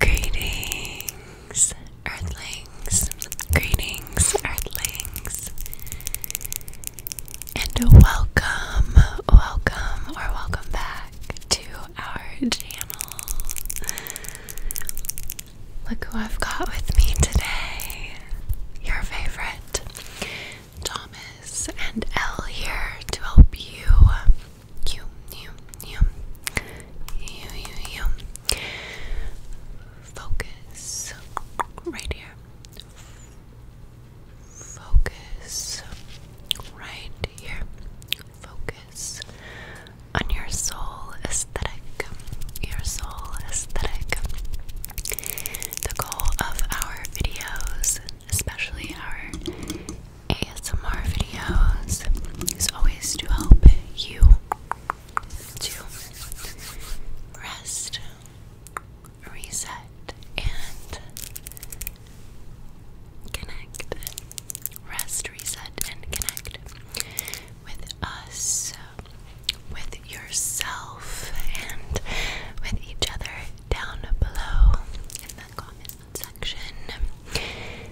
Greetings, Earthlings. Greetings, Earthlings. And welcome, welcome, or welcome back to our channel. Look who I've got with me today. Your favorite Thomas and Elle here to help you you, you, you, you, you, you. Focus right here. Focus right here. Focus on your soul aesthetic. Your soul aesthetic. The goal of our videos, especially our ASMR videos is always to help you to rest, reset, and connect. Rest, reset, and connect with us, with yourself, and with each other down below in the comments section.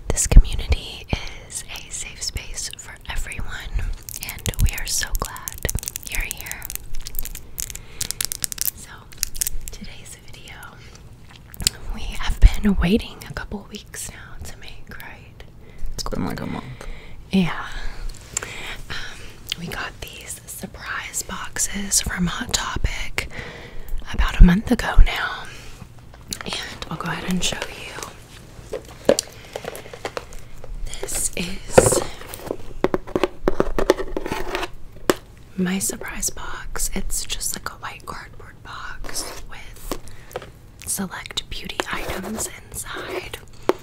This community is a safe space for everyone, and we are so glad you're here. So, today's video, we have been waiting a couple weeks now to make, right? It's been like a month. Yeah. Um, we got these surprise boxes from Hot Topic about a month ago now. And I'll go ahead and show you. This is my surprise box. It's just like a white cardboard box with select beauty items inside.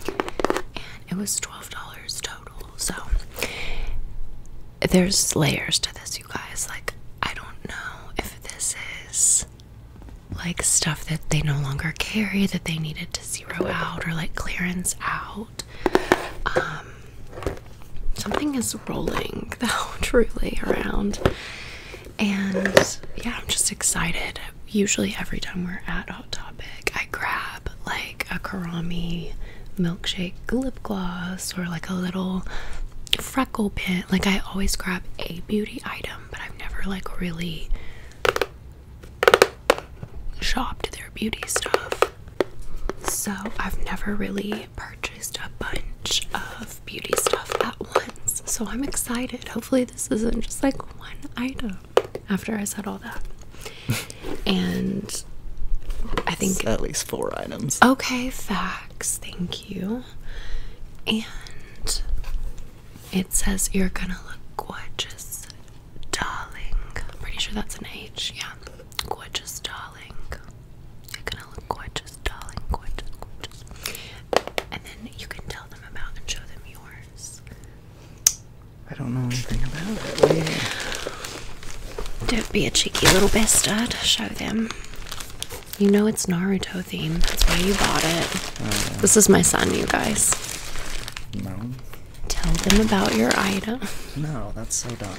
And it was $12 total. So there's layers to this, you guys. Like, I don't know if this is like stuff that they no longer carry that they needed to zero out or like clearance out. Um, something is rolling though, truly around. And yeah, I'm just excited. Usually, every time we're at Hot Topic, I grab like a Karami milkshake lip gloss or like a little freckle pin. Like I always grab a beauty item, but I've never like really shopped their beauty stuff. So I've never really purchased a bunch of beauty stuff at once. So I'm excited. Hopefully this isn't just like one item after I said all that. and I think at least four items. Okay, facts. Thank you. And it says you're gonna look gorgeous, darling. I'm pretty sure that's an H. Yeah, gorgeous, darling. gonna look gorgeous, darling. Gorgeous, gorgeous. And then you can tell them about and show them yours. I don't know anything about it. Don't be a cheeky little bastard. Show them. You know it's Naruto theme. That's why you bought it. Oh, this is my son, you guys. No. Tell them about your item. No, that's so dumb.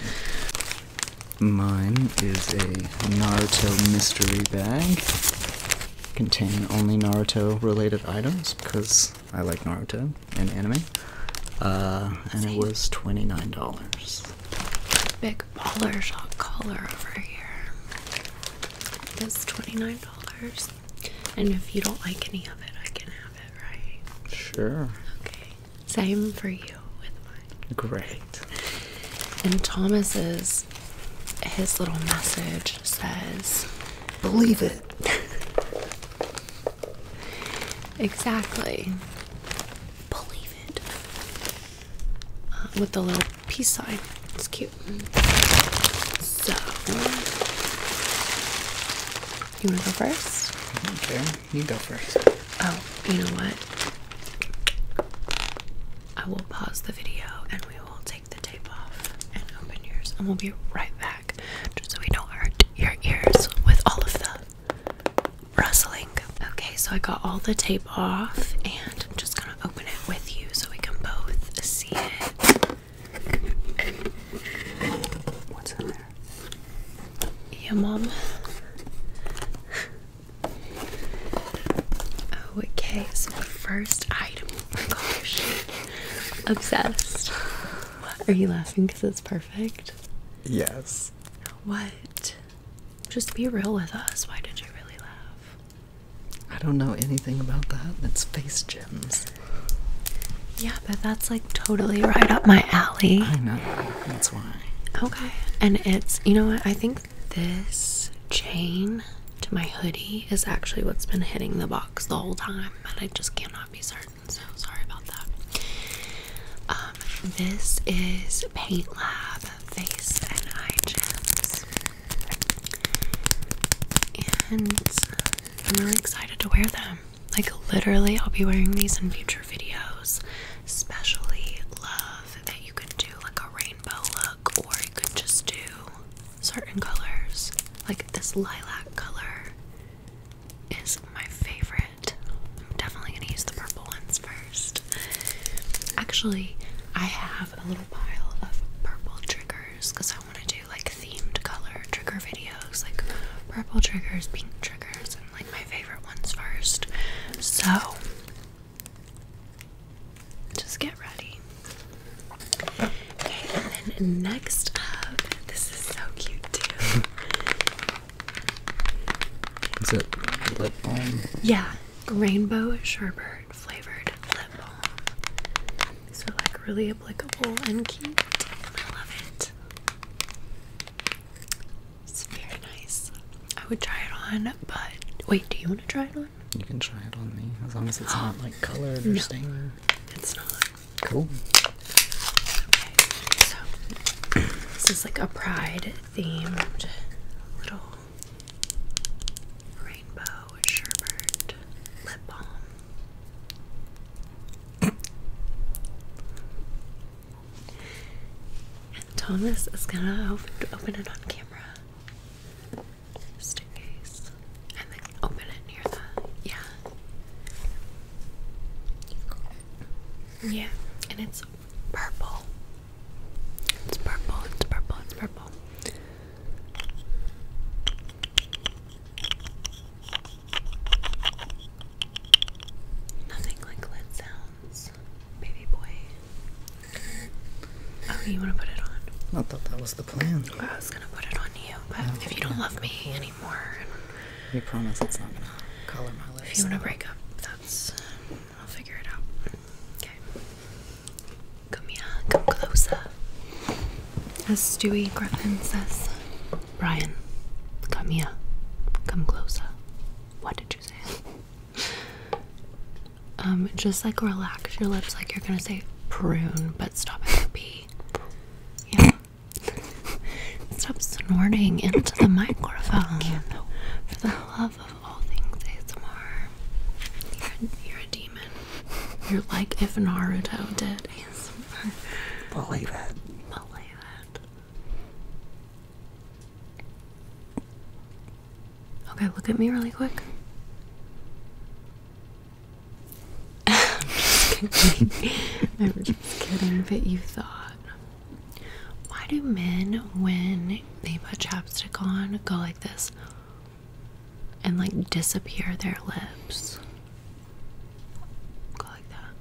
Mine is a Naruto mystery bag. containing only Naruto related items because I like Naruto and anime. Uh, and it was $29. Big baller shot collar over here. It's $29. And if you don't like any of it, I can have it, right? Sure. Okay. Same for you with mine. Great. And Thomas's his little message says Believe it. exactly. Believe uh, with the little peace sign. It's cute. So, you want to go first? Okay, you go first. Oh, you know what? I will pause the video and we will take the tape off and open yours, and we'll be right back just so we don't hurt your ears with all of the rustling. Okay, so I got all the tape off and I'm just gonna open it with you so we can both see it. What's in there? Yeah, Mom. Oh, okay, so the first item. Oh my gosh. Obsessed. Are you laughing because it's perfect? Yes. What? Just be real with us. Why did you really laugh? I don't know anything about that. It's face gems. Yeah, but that's like totally right up my alley. I know. That's why. Okay. And it's, you know what? I think this chain to my hoodie is actually what's been hitting the box the whole time. And I just cannot be certain. So sorry about that. Um, this is Paint Lab Face and Eye Gems. And I'm really excited to wear them. Like, literally, I'll be wearing these in future videos. Especially love that you can do like a rainbow look, or you could just do certain colors. Like, this lilac color is my favorite. I'm definitely gonna use the purple ones first. Actually, I have a little pile of purple triggers because I want to do like themed color trigger videos, like purple triggers, pink triggers, and like my favorite ones first. So just get ready. Okay, and then next this is so cute too. Is it lip balm? Yeah, rainbow sherbet flavored lip balm. These are like really applicable and cute, I love it. It's very nice. I would try it on, but wait, do you want to try it on? You can try it on me as long as it's not like colored or no, stained. It's not. Cool. this is like a pride themed little rainbow sherbert lip balm. and Thomas is gonna open, open it on camera. Just in case. And then open it near the yeah. Yeah, and it's purple. It's purple, it's purple, it's purple. Nothing like lid sounds, baby boy. Oh, you want to put it on? I thought that was the plan. I was gonna put it on you, but if you don't love me anymore, you promise it's not gonna color my lips. If you want to break up, um, I'll figure it out. Okay. Come here, come closer. As Stewie Griffin says, Brian, come here, come closer. What did you say? um, just like relax your lips, like you're gonna say prune, but stop at the P. Yeah. Stop snorting into the microphone. For the love of all things ASMR. You're, a demon. You're like if Naruto did Believe it. Believe it. Okay, look at me really quick. I'm just kidding. I'm just kidding, but you thought. Why do men, when they put chapstick on, go like this and like disappear their lips? Go like that.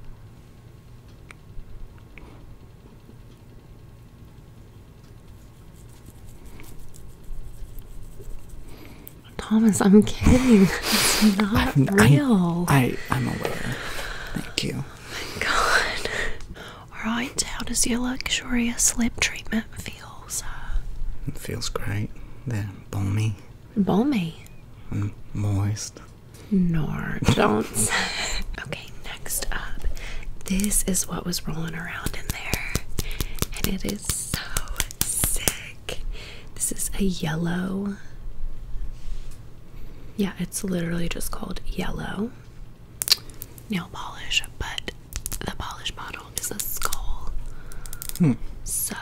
Thomas, I'm kidding. It's not I'm, real. I'm, real i i am aware. Thank you my god. Alright, how does your luxurious lip treatment feel, sir? It feels great. They're balmy. Balmy? And moist. No, don't. okay, next up. This is what was rolling around in there. And it is so sick. This is a yellow. Yeah, it's literally just called yellow nail polish, but the polish bottle is a skull. Hmm. So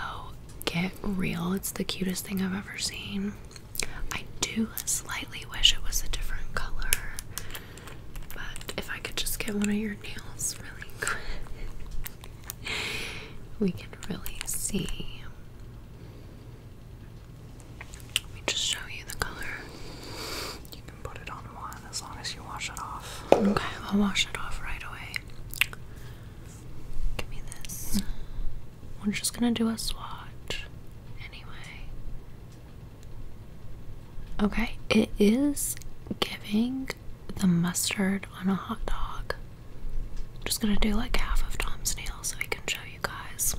get real. It's the cutest thing I've ever seen. I do slightly wish it was a different color, but if I could just get one of your nails really quick, we can really see. Let me just show you the color. You can put it on one as long as you wash it off. Okay, I'll wash it off right away. Give me this. We're just gonna do a swatch anyway. Okay, it is giving the mustard on a hot dog. I'm just gonna do like half of Tom's nail so I can show you guys.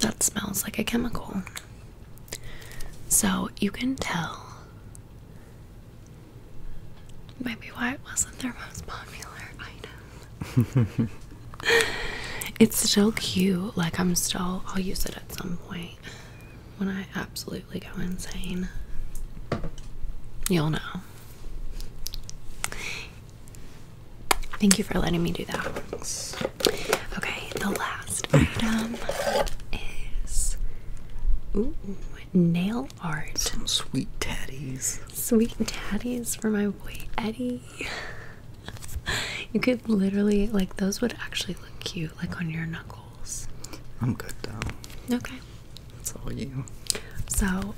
That smells like a chemical. So you can tell maybe why it wasn't their most popular item. it's still cute. Like I'm still I'll use it at some point when I absolutely go insane. You'll know. Thank you for letting me do that. Okay, the last mm. item is ooh, nail art. Some sweet tatties. Sweet tatties for my boy Eddie. you could literally like those would actually look cute, like on your knuckles. I'm good though. Okay. That's all you. So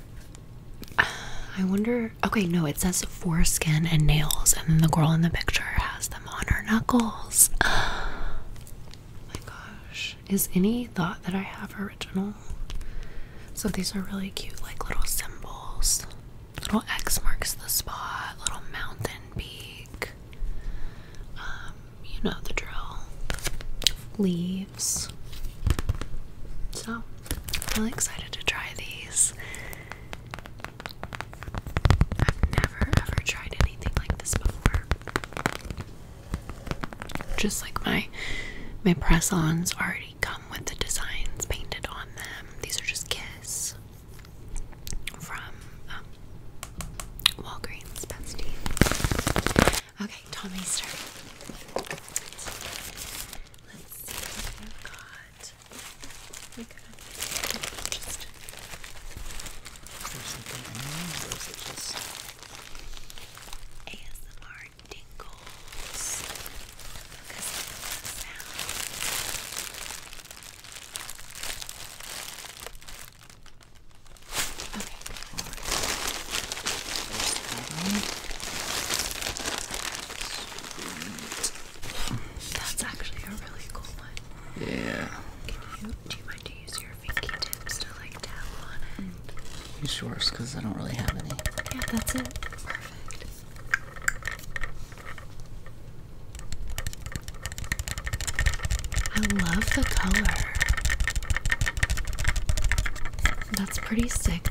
I wonder. Okay, no, it says foreskin and nails, and then the girl in the picture has them on her knuckles. Oh my gosh. Is any thought that I have original? So these are really cute, like little symbols. Little X marks the spot, little mountain peak. Um, you know the drill. Leaves. So, I'm really excited to try these. I've never ever tried anything like this before. Just like my my press-ons already come with the designs painted on them. These are just Kiss from um, Walgreens Okay, Tommy's turn. Let's see what we've got. We got just is something or is it just ASMR tingles? Because of the sound. Okay, that's actually a really cool one. Yeah. do you mind to use your pinky tips to like tap on it? Use because I don't really have any. Yeah, that's it. Perfect. I love the color. That's pretty sick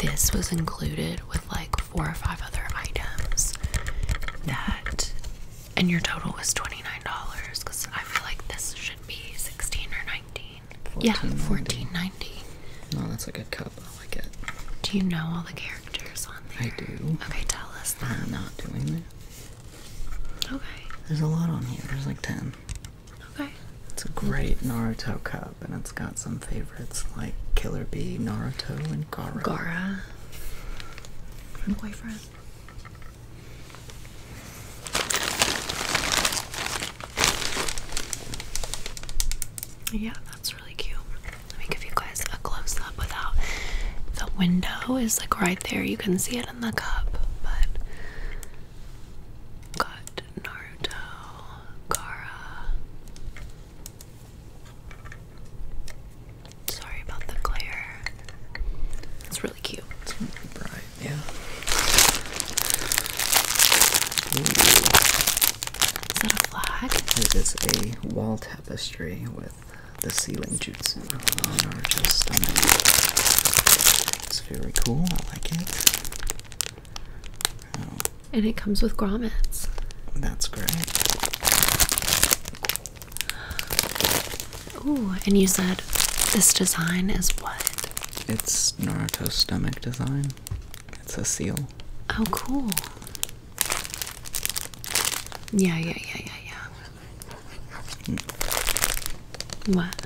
this was included with like four or five other items that and your total was $29 because I feel like this should be 16 or 19 14, yeah 14.90 no that's a good cup I like it do you know all the characters on there I do okay tell us I'm not doing that okay there's a lot on here there's like 10 Okay. It's a great Naruto cup, and it's got some favorites like Killer Bee, Naruto, and Gara. Gara. Boyfriend. Yeah, that's really cute. Let me give you guys a close up without the window is like right there. You can see it in the cup, but got Naruto, Kara. Sorry about the glare. It's really cute. yeah. Ooh. flag? It is a wall tapestry with the ceiling jutsu on Naruto's It's very cool, I like it. And it comes with grommets. That's great. Ooh, and you said this design is what? It's Naruto's stomach design. It's a seal. Oh, cool. Yeah, yeah, yeah, yeah, yeah. Mm. What?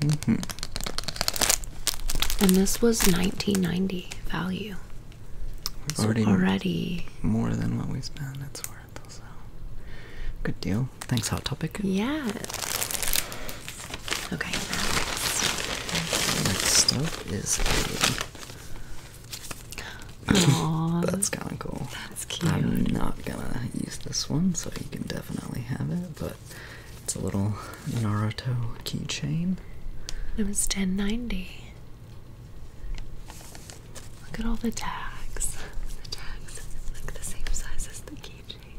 Mm-hmm. And this was 1990 value. It's already, more than what we spent. It's worth also. Good deal. Thanks, Hot Topic. Yeah. Okay. Next is a. That's kind of cool. I'm not gonna use this one, so you can definitely have it, but it's a little Naruto keychain. It was 1090. Look at all the tags. The tags look the same size as the keychain.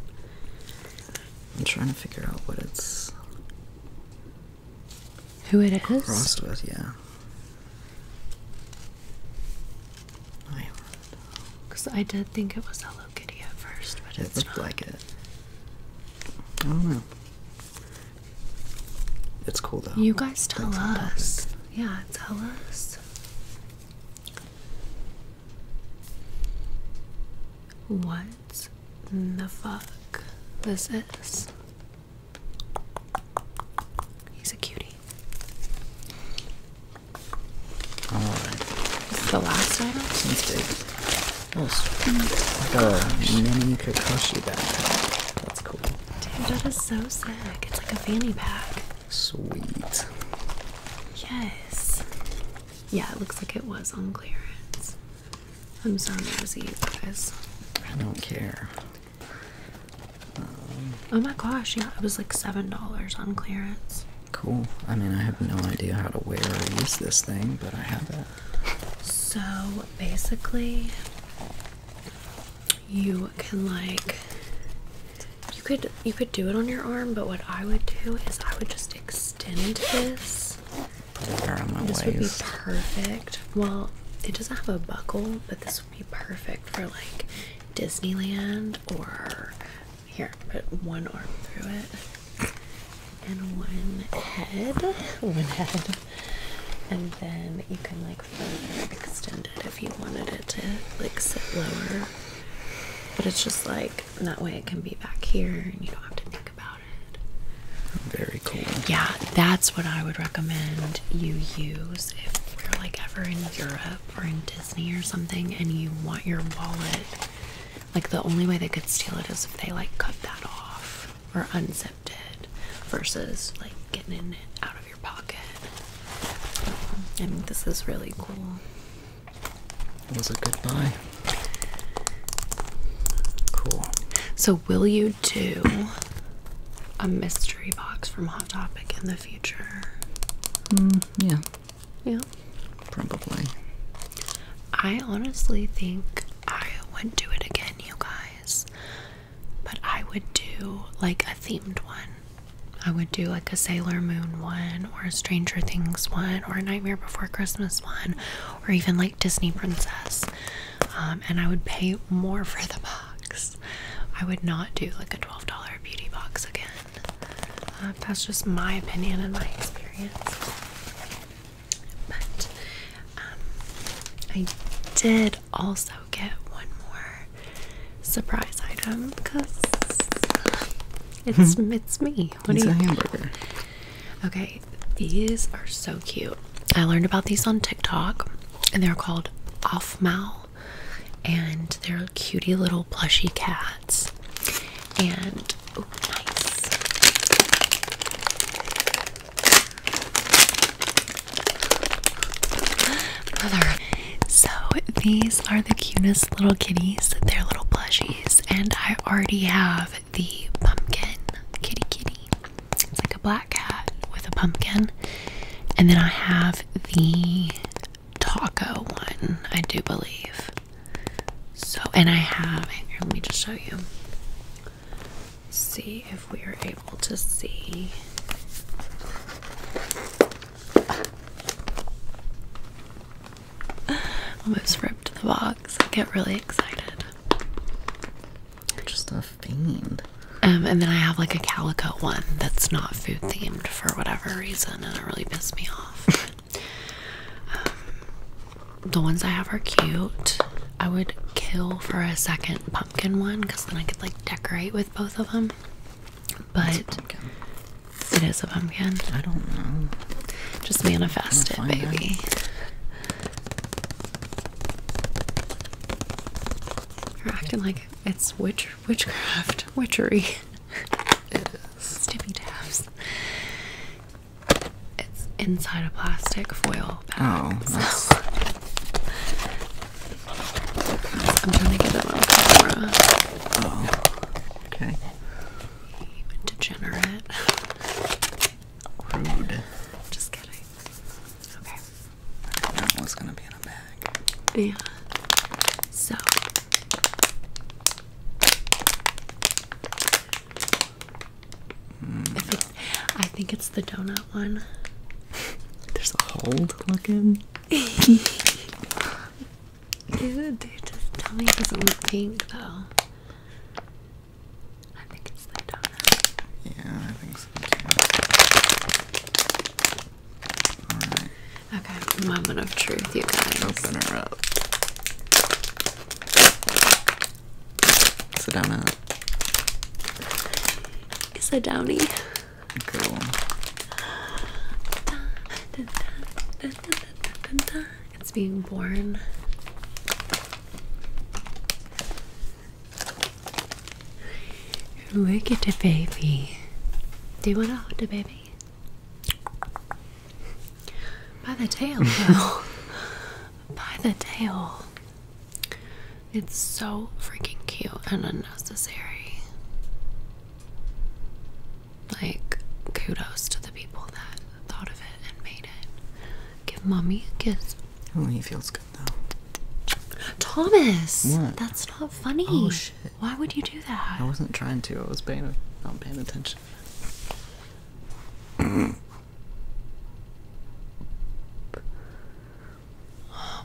I'm trying to figure out what it's who it is. Crossed with, yeah. Because I did think it was Hello Kitty at first, but it it's looked like it. I don't know. It's cool though. You guys tell us. Yeah, tell us. What the fuck this is? He's a cutie. This is the last item. Since it's oh, sweet. like a mini Kakashi backpack. That's cool. Dude, that is so sick. It's like a fanny pack. Sweet. Yes. Yeah, it looks like it was on clearance. I'm sorry so nosy, you guys. I don't care oh my gosh, yeah, it was like $7 on clearance. Cool. I mean, I have no idea how to wear or use this thing, but I have it. So basically, you can like you could you could do it on your arm, but what I would do is I would just extend this. Put this would be perfect. Well, it doesn't have a buckle, but this be perfect for like Disneyland or here, put one arm through it and one head, one head, and then you can like further extend it if you wanted it to like sit lower. But it's just like that way it can be back here and you don't have to think about it. Very cool. Yeah, that's what I would recommend you use if we are like ever in Europe or in or something and you want your wallet, like the only way they could steal it is if they like cut that off or unzipped it versus like getting it out of your pocket. I think this is really cool. It was a good buy. Cool. So, will you do a mystery box from Hot Topic in the future? Mm, yeah. Yeah. Probably. I honestly think I would do it again, you guys. But I would do like a themed one. I would do like a Sailor Moon one, or a Stranger Things one, or a Nightmare Before Christmas one, or even like Disney Princess. Um, and I would pay more for the box. I would not do like a $12 beauty box again. Uh, that's just my opinion and my experience. But um, I did also get one more surprise item because it's hmm. it's me. What it's do you a hamburger. Okay, these are so cute. I learned about these on TikTok, and they're called off-mouth and they're cutie little plushy cats. And oh, nice. Mother. So these are the cutest little kitties. They're little plushies, and I already have the pumpkin kitty kitty. It's like a black cat with a pumpkin. And then I have the taco one, I do believe. So, and I have, let me just show you. See if we are able to see. Almost ripped the box. I get really excited. just a fiend. Um, and then I have like a calico one that's not food themed for whatever reason and it really pissed me off. Um, the ones I have are cute. I would kill for a second pumpkin one because then I could like decorate with both of them. But it is a pumpkin. I don't know. Just manifest it, baby. You're acting like it's witch witchcraft, witchery it is. tabs. It's inside a plastic foil Oh, I'm trying to get it on camera. Oh, okay. Degenerate. Rude. Just kidding. Okay. That was gonna be in a bag. Yeah. So I, think, it's the donut one. There's a hold looking. Dude, dude, just tell me it doesn't look pink though. I think it's the donut. Yeah, I think so too. Okay, moment of truth, you guys. Open her up. Sit down out. a downy? Cool. It's being born. Look at the baby. Do you want to hold the baby? By the tail, though. By the tail. It's so freaking cute and unnecessary. Like, kudos to the people that thought of it and made it. Give mommy a kiss. Oh, he feels good though. Thomas! That's not funny. Oh, why would you do that? I wasn't trying to. I was paying not paying attention.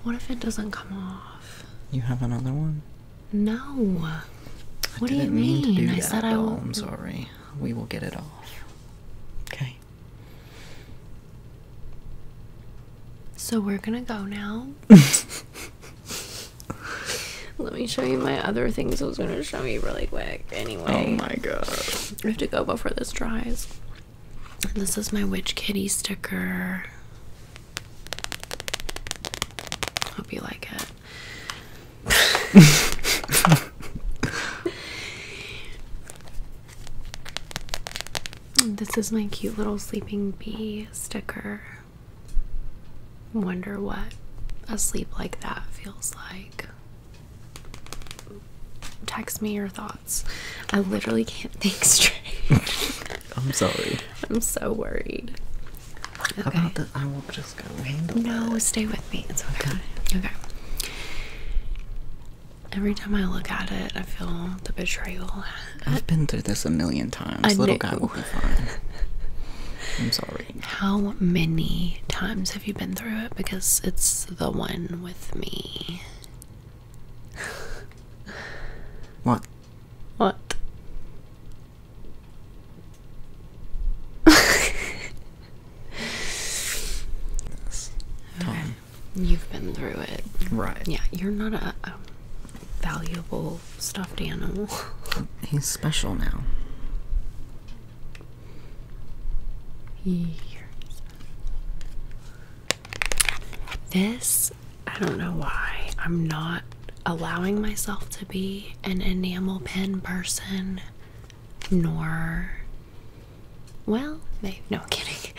what if it doesn't come off? You have another one? No. I what do you mean? I said I I'm sorry. We will get it off. Okay. So we're gonna go now. Let me show you my other things I was going to show you really quick. Oh anyway. Oh my god. we have to go before this dries. this is my Witch Kitty sticker. Hope you like it. this is my cute little sleeping bee sticker. Wonder what a sleep like that feels like. Text me your thoughts. I literally can't think straight. I'm sorry. I'm so worried. About the, I will just go handle No, stay with me. It's okay. okay. Okay. Every time I look at it, I feel the betrayal I've been through this a million times. I Little guy will be fine. I'm sorry. How many times have you been through it? Because it's the one with me. What? What? yes. Okay. You've been through it. Right. Yeah, you're not a valuable stuffed animal. He's special now. Years. This, I don't know why. I'm not allowing myself to be an enamel pin person, nor, well, no, kidding.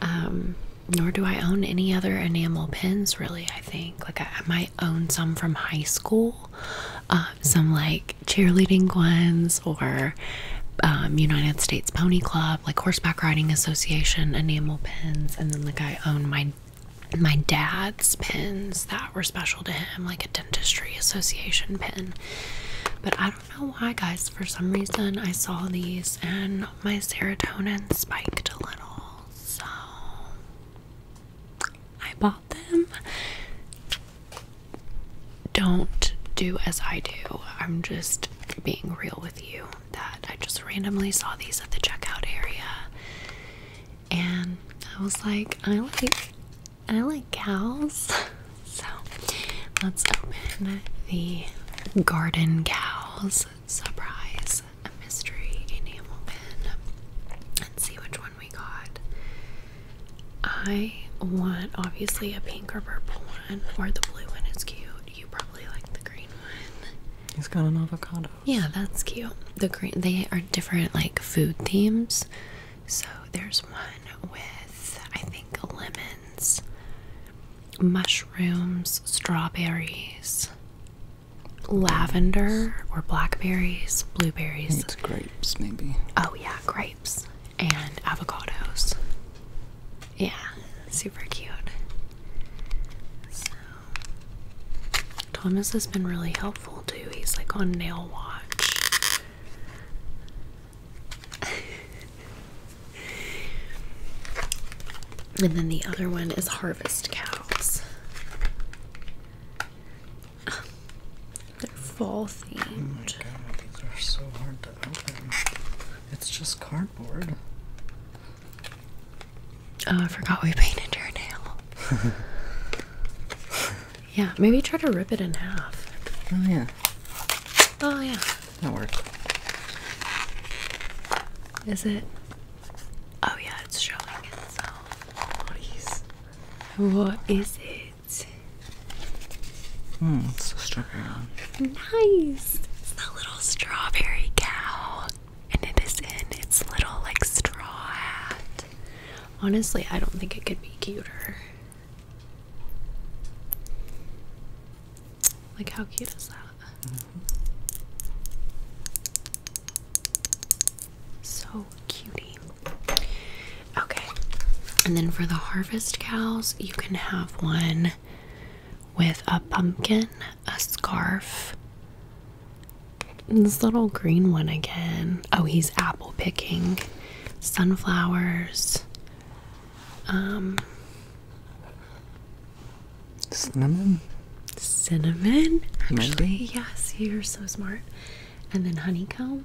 Um, nor do I own any other enamel pins, really. I think like I, might own some from high school, um, some like cheerleading ones or um, United States Pony Club, like Horseback Riding Association enamel pins, and then like I own my my dad's pins that were special to him, like a dentistry association pin. But I don't know why, guys. For some reason, I saw these and my serotonin spiked a little so I bought them. Don't do as I do. I'm just being real with you that I just randomly saw these at the checkout area and I was like, I like I like cows. So let's open the garden cows surprise a mystery enamel pin and see which one we got. I want obviously a pink or purple one, or the blue one is cute. You probably like the green one. He's got an avocado. Yeah, that's cute. The green they are different like food themes. So there's one with I think lemons, mushrooms, strawberries, lavender or blackberries, blueberries. grapes, maybe. Oh, yeah, grapes and avocados. Yeah, super cute. So, Thomas has been really helpful too. He's like on nail watch. and then the other one is Harvest Cow. They're fall themed. Oh my god, these are so hard to open. It's just cardboard. Oh, I forgot we painted your nail. yeah, maybe try to rip it in half. Oh yeah. Oh yeah. That worked. Is it Oh yeah, it's showing itself. what is it? Hmm, it's a strawberry Nice! It's a little strawberry cow. And it is in its little like straw hat. Honestly, I don't think it could be cuter. Like how cute is that? Mm-hmm. So cutie. Okay. And then for the harvest cows, you can have one with a pumpkin, a scarf. And this little green one again. Oh, he's apple picking. Sunflowers. Um Cinnamon? Cinnamon? Actually, yes, you're so smart. And then honeycomb?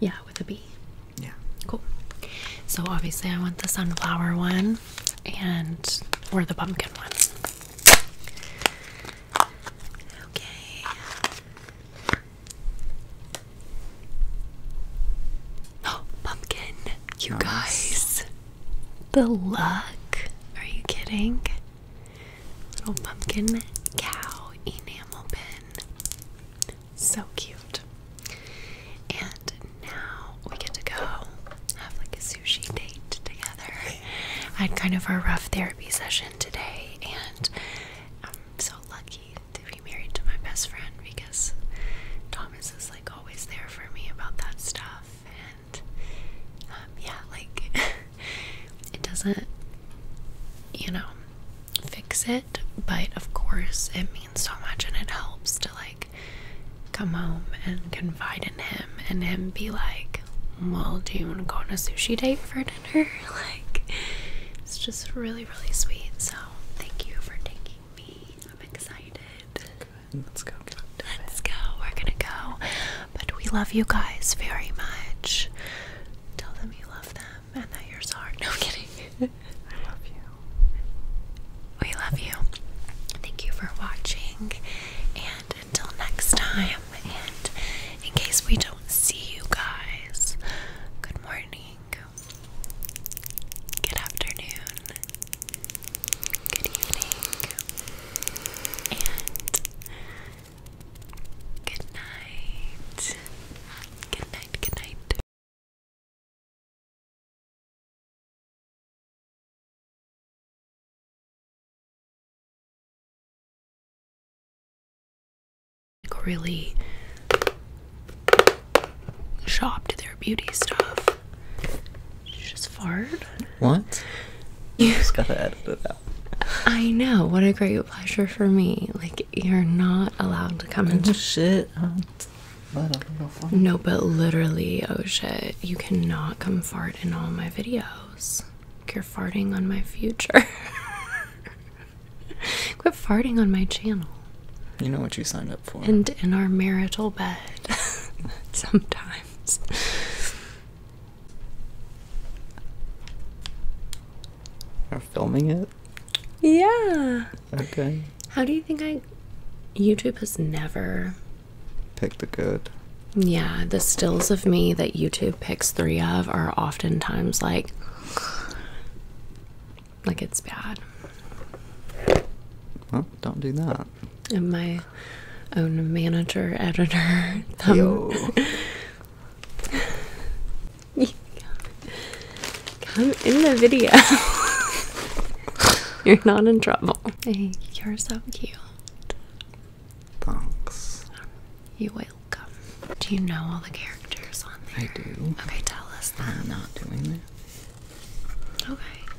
Yeah, with a bee. Yeah. Cool. So obviously, I want the sunflower one and or the pumpkin ones. Okay. Oh, pumpkin. You guys. The luck? Are you kidding? Little pumpkin cow enamel pin. So cute. And now we get to go have like a sushi date together. I had kind of a rough therapy session today, and I'm so lucky to be married to my best friend because Thomas is like always there for me about that stuff. Um, yeah, like it doesn't, you know, fix it, but of course it means so much and it helps to like come home and confide in him and him be like, Well, do you want to go on a sushi date for dinner? Like, it's just really, really sweet. So, thank you for taking me. I'm excited let's go. let's go. We're gonna go. But we love you guys very much. Tell them you love them and that you're No kidding. I love you. We love you. Thank you for watching. And until next time. And in case we don't see you guys, good morning. Good afternoon. Good evening. And good night. Good night, good night. really shopped their beauty stuff. just farted. What? You just gotta edit it out. I know. What a great pleasure for me. Like you're not allowed to come and shit. No, but literally, oh shit, you cannot come fart in all my videos. you're farting on my future. Quit farting on my channel. You know what you signed up for. And in our marital bed. sometime times. Are filming it? Yeah. Okay. How do you think I YouTube has never picked the good? Yeah, the stills of me that YouTube picks three of are oftentimes like like it's bad. don't do that and my own manager editor Come in the video. you're not in trouble. Hey, you're so cute. Thanks. You're welcome. Do you know all the characters on there? I do. Okay, tell us I'm not doing this. Okay.